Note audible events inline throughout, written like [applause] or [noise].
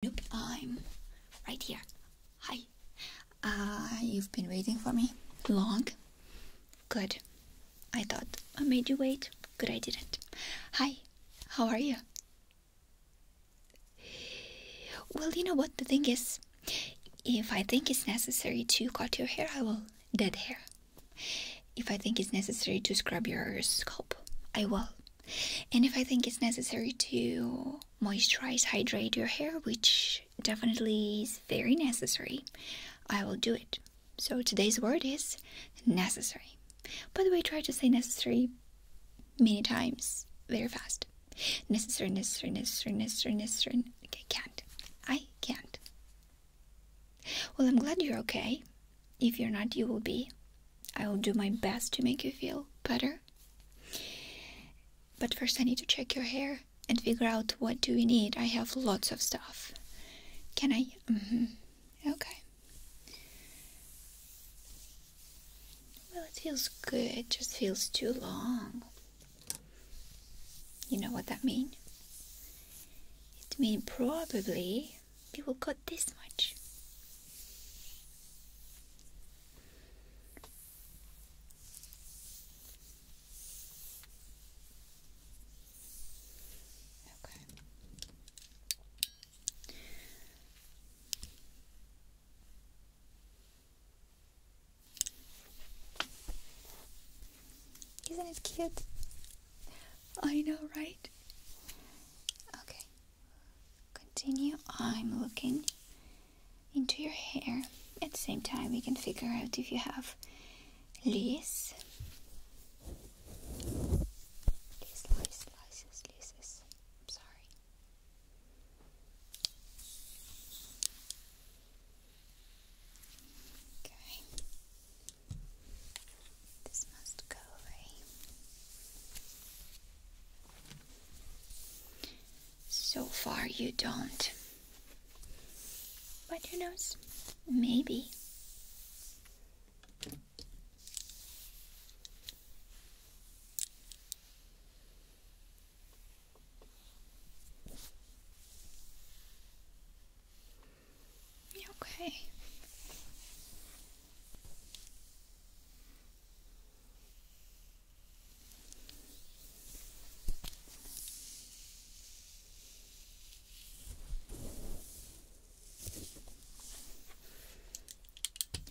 Nope, I'm right here. Hi. Uh, you've been waiting for me? Long? Good. I thought I made you wait. Good, I didn't. Hi, how are you? Well, you know what? The thing is, if I think it's necessary to cut your hair, I will. Dead hair. If I think it's necessary to scrub your scalp, I will. And if I think it's necessary to moisturize, hydrate your hair, which definitely is very necessary, I will do it. So today's word is necessary. By the way, try to say necessary many times very fast. Necessary, necessary, necessary, necessary, necessary. Okay, can't. I can't. Well, I'm glad you're okay. If you're not, you will be. I'll do my best to make you feel better. But first, I need to check your hair and figure out what do we need. I have lots of stuff. Can I? Mm -hmm. Okay. Well, it feels good. It just feels too long. You know what that means? It means probably we will cut this much. Isn't it cute? I know, right? Okay. Continue. I'm looking into your hair. At the same time, we can figure out if you have lice. Lice, lice, lices, lices. I'm sorry. Okay. This must go away. So far, you don't. But who knows? Maybe. Okay.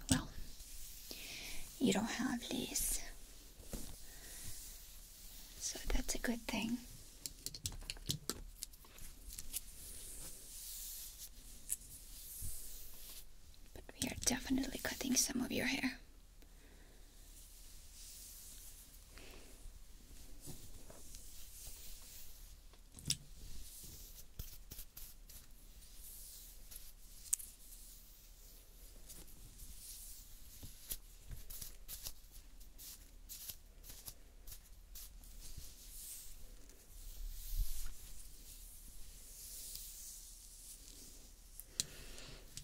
Well, you don't have this, so that's a good thing. But we are definitely cutting some of your hair.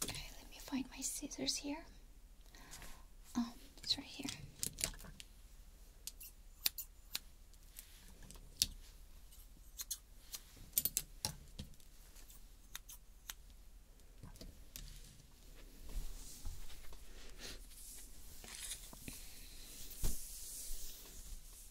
Okay, let me find my scissors here. Oh, it's right here.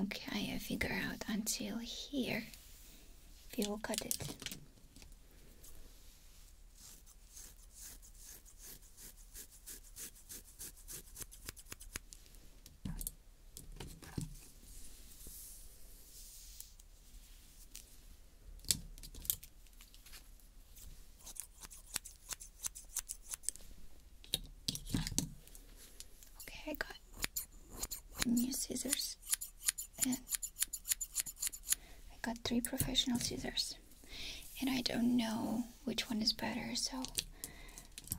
Okay, I figure out until here. If you look at it. Okay, I got new scissors I got three professional scissors and I don't know which one is better so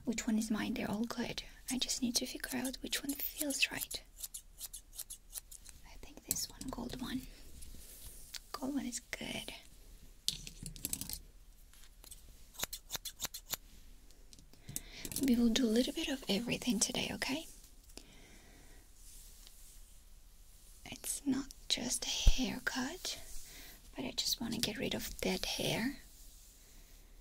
which one is mine? They're all good. I just need to figure out which one feels right. I think this one, gold one. Gold one is good. We will do a little bit of everything today, okay? It's not just a haircut, but I just want to get rid of dead hair.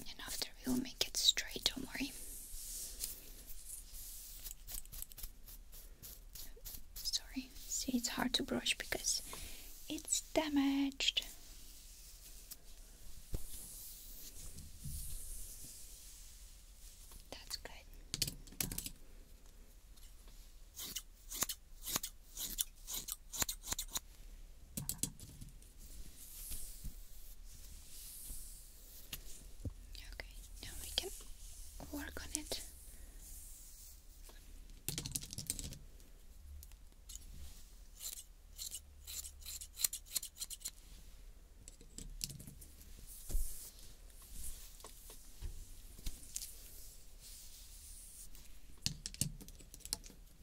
And after we'll make it straight, don't worry. Sorry, see, it's hard to brush because it's damaged. That's good. Okay, now we can work on it.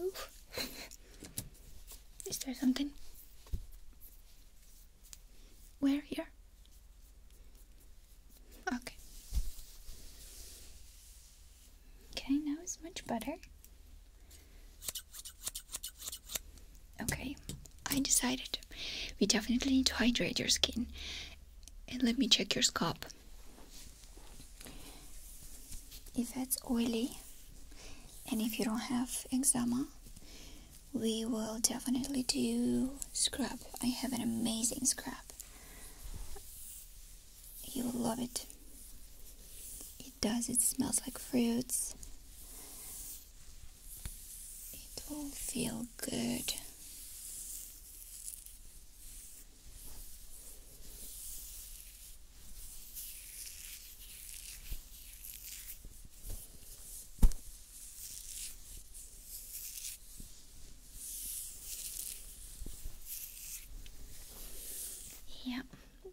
Oof. [laughs] Is there something? Where here? Okay. Okay, now it's much better. Okay, I decided we definitely need to hydrate your skin and let me check your scalp. If it's oily and if you don't have eczema, we will definitely do scrub. I have an amazing scrub. You will love it. It does, it smells like fruits. It will feel good. Yeah,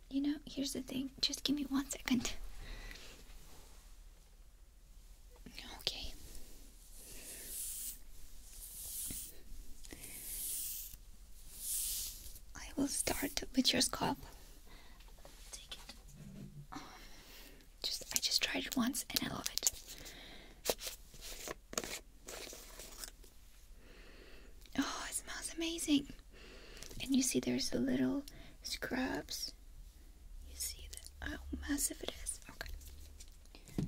you know, here's the thing. Just give me one second. Okay. I will start with your scalp. just I just tried it once and I love it. Oh, it smells amazing. And you see there's the little scrubs. You see that how oh, massive it is. Okay.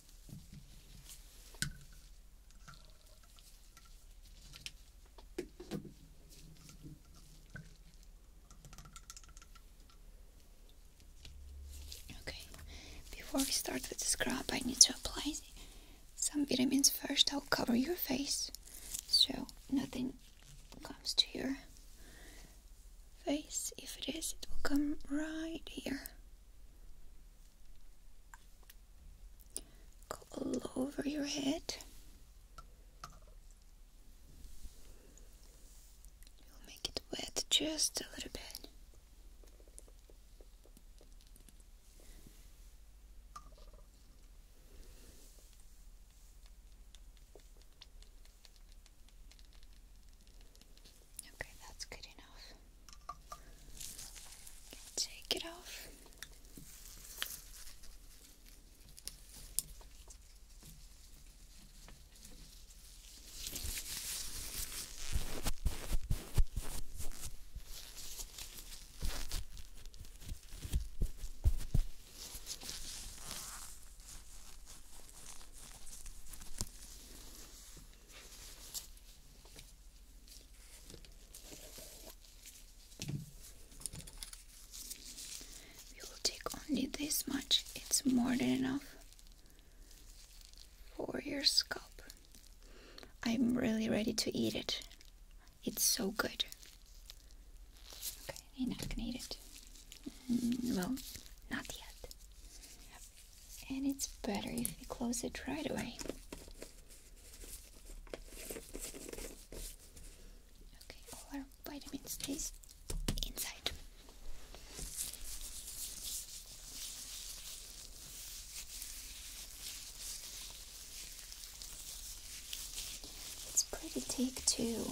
Okay, before we start with the scrub, I need to apply some vitamins first. I'll cover your face so nothing comes to your face. If it is, it will come right here all over your head. make it wet just a little bit. Okay, that's good enough. Take it off. We will take only this much, it's more than enough for your scalp. I'm really ready to eat it, it's so good. Okay, you're not gonna eat it. Mm, well, not yet and it's better if you close it right away. Okay, all our vitamin stays inside. It's pretty thick too.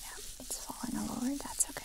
Yeah, it's fallen all over, that's okay.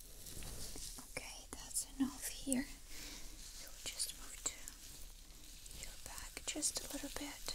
Okay, that's enough here. You'll just move to your back just a little bit.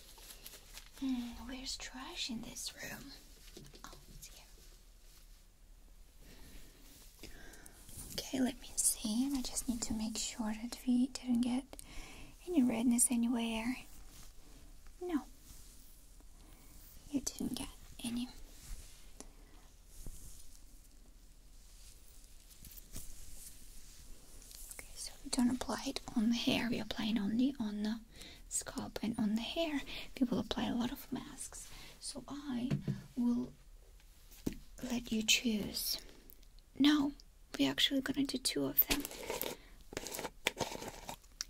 Hmm, where's trash in this room? Oh, okay, let me see. I just need to make sure that we didn't get any redness anywhere. No. You didn't get any. Okay, so we don't apply it on the hair, we are applying only on the scalp and on the hair. People apply a lot of masks, so I will let you choose. Now we're actually gonna do two of them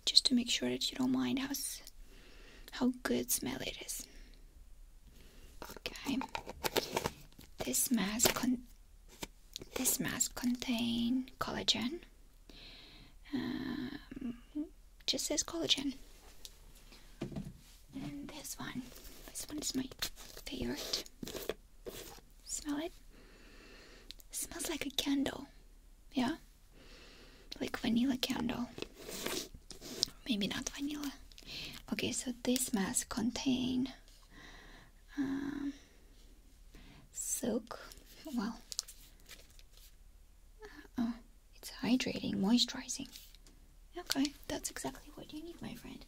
just to make sure that you don't mind how, how good smell it is. Okay, this mask con this mask contains collagen. Um, just says collagen. And this one. This one is my favorite. Smell it? smells like a candle. Yeah? Like vanilla candle. Maybe not vanilla. Okay, so this mask contain um, Silk, well, uh, oh, it's hydrating, moisturizing. Okay, that's exactly what you need, my friend.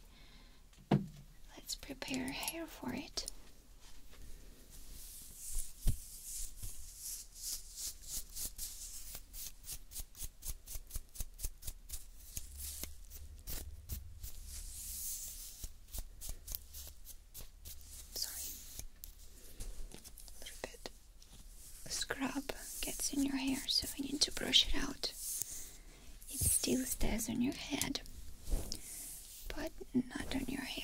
Let's prepare hair for it sorry, a little bit scrub gets in your hair, so you need to brush it out. It still stays on your head, but not on your hair.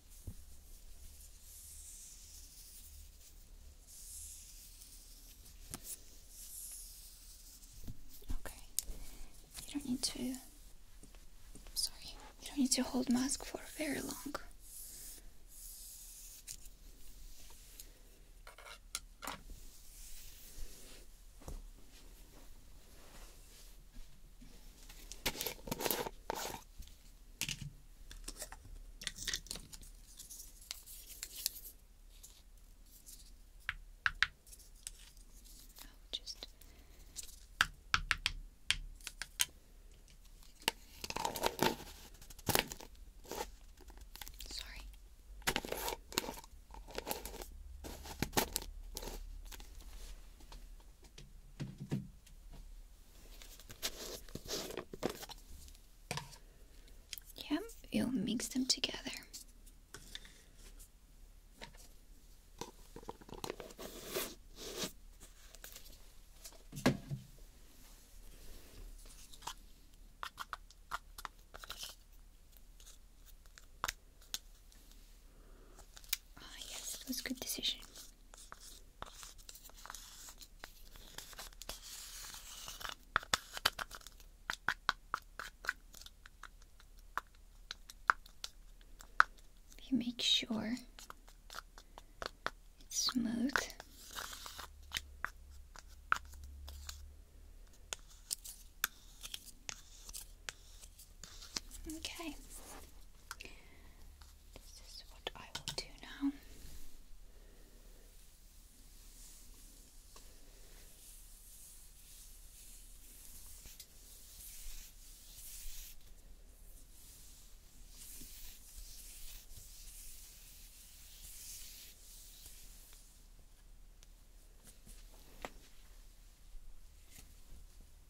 Okay. You don't need to sorry. You don't need to hold mask for very long. I'll just sorry. Okay. Yep, you'll mix them together. Ah, yes, it was a good decision. You make sure it's smooth. Okay. This is what I will do now.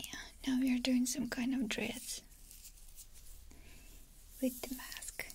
Yeah, now we are doing some kind of dreads with the mask. Okay.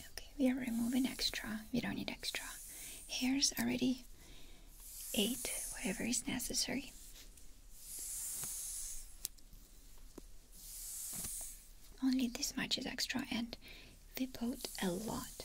Okay, we are removing extra. We don't need extra. Hairs already eight, whatever is necessary. Only this much is extra and they bought a lot.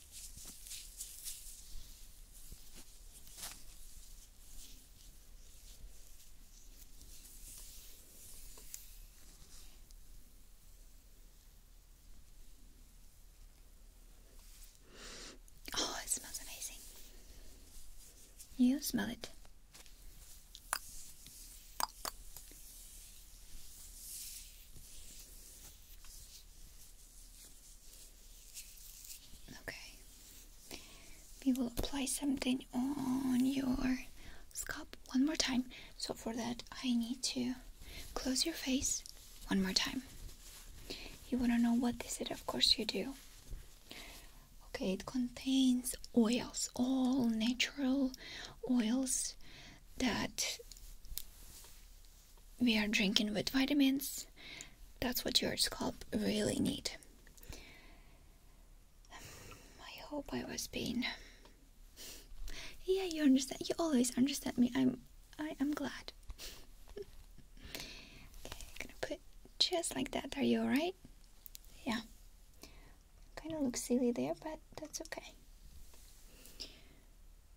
Oh, it smells amazing. You smell it. Okay. We will apply something on your scalp one more time. So for that, I need to close your face one more time. You want to know what this is? Of course you do. Okay, it contains oils, all natural oils that we are drinking with vitamins. That's what your scalp really need. I hope I was being Yeah, you understand. You always understand me. I'm I am glad. okay, I'm gonna put just like that. Are you alright? Yeah. Kinda looks silly there, but that's okay.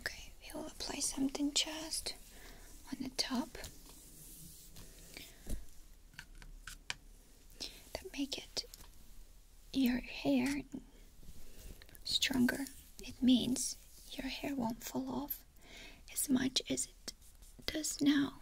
Okay, we will apply something just on the top that make it your hair stronger. It means your hair won't fall off as much as it does now.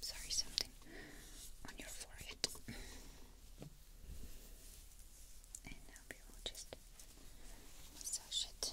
Sorry, something on your forehead. And now we will just massage it.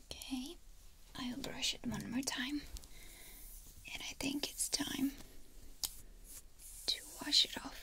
Okay, I'll brush it one more time. And I think it's time to wash it off.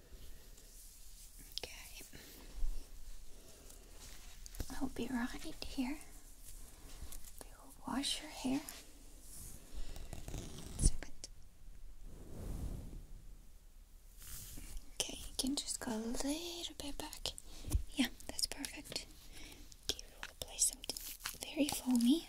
Okay. I'll be right here. We will wash your hair. Okay, you can just go a little bit back. Yeah, that's perfect. Okay, will apply something very foamy.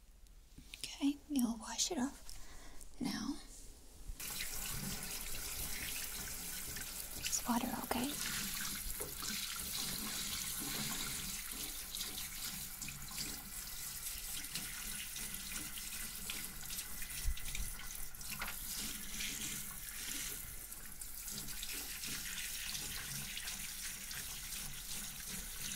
Okay, you'll wash it off now. It's water, okay?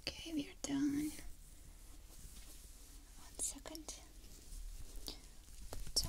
Okay, we are done. One second. So,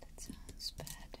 That sounds bad.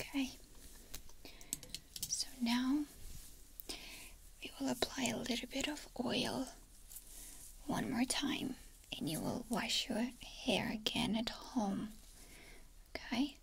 Okay, so now we will apply a little bit of oil one more time, and you will wash your hair again at home. Okay,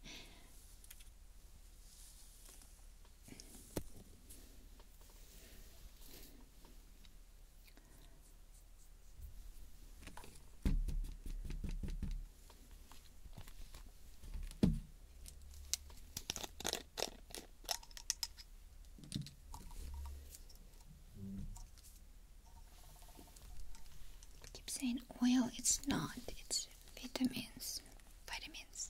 keep saying oil, it's not, it's vitamins. Vitamins.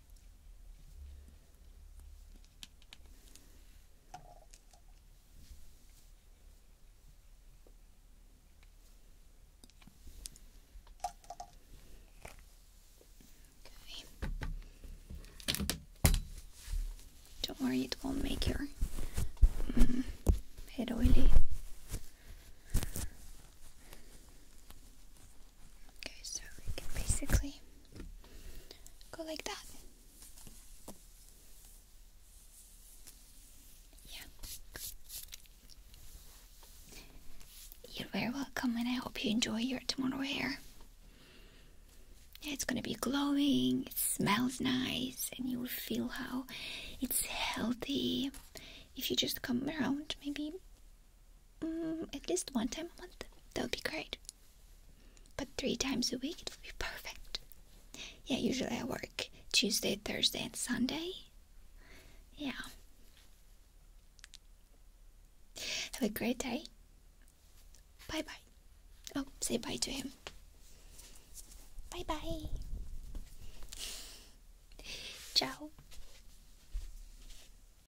Don't worry, it won't make your mm, head oily. Okay, so we can basically go like that. Yeah. You're very welcome, and I hope you enjoy your tomorrow hair. It's gonna be glowing, it smells nice, and you will feel how it's healthy if you just come around maybe Mm, at least one time a month. That would be great. But three times a week, it would be perfect. Yeah, usually I work Tuesday, Thursday, and Sunday. Yeah. Have a great day. Bye bye. Oh, say bye to him. Bye bye. Ciao.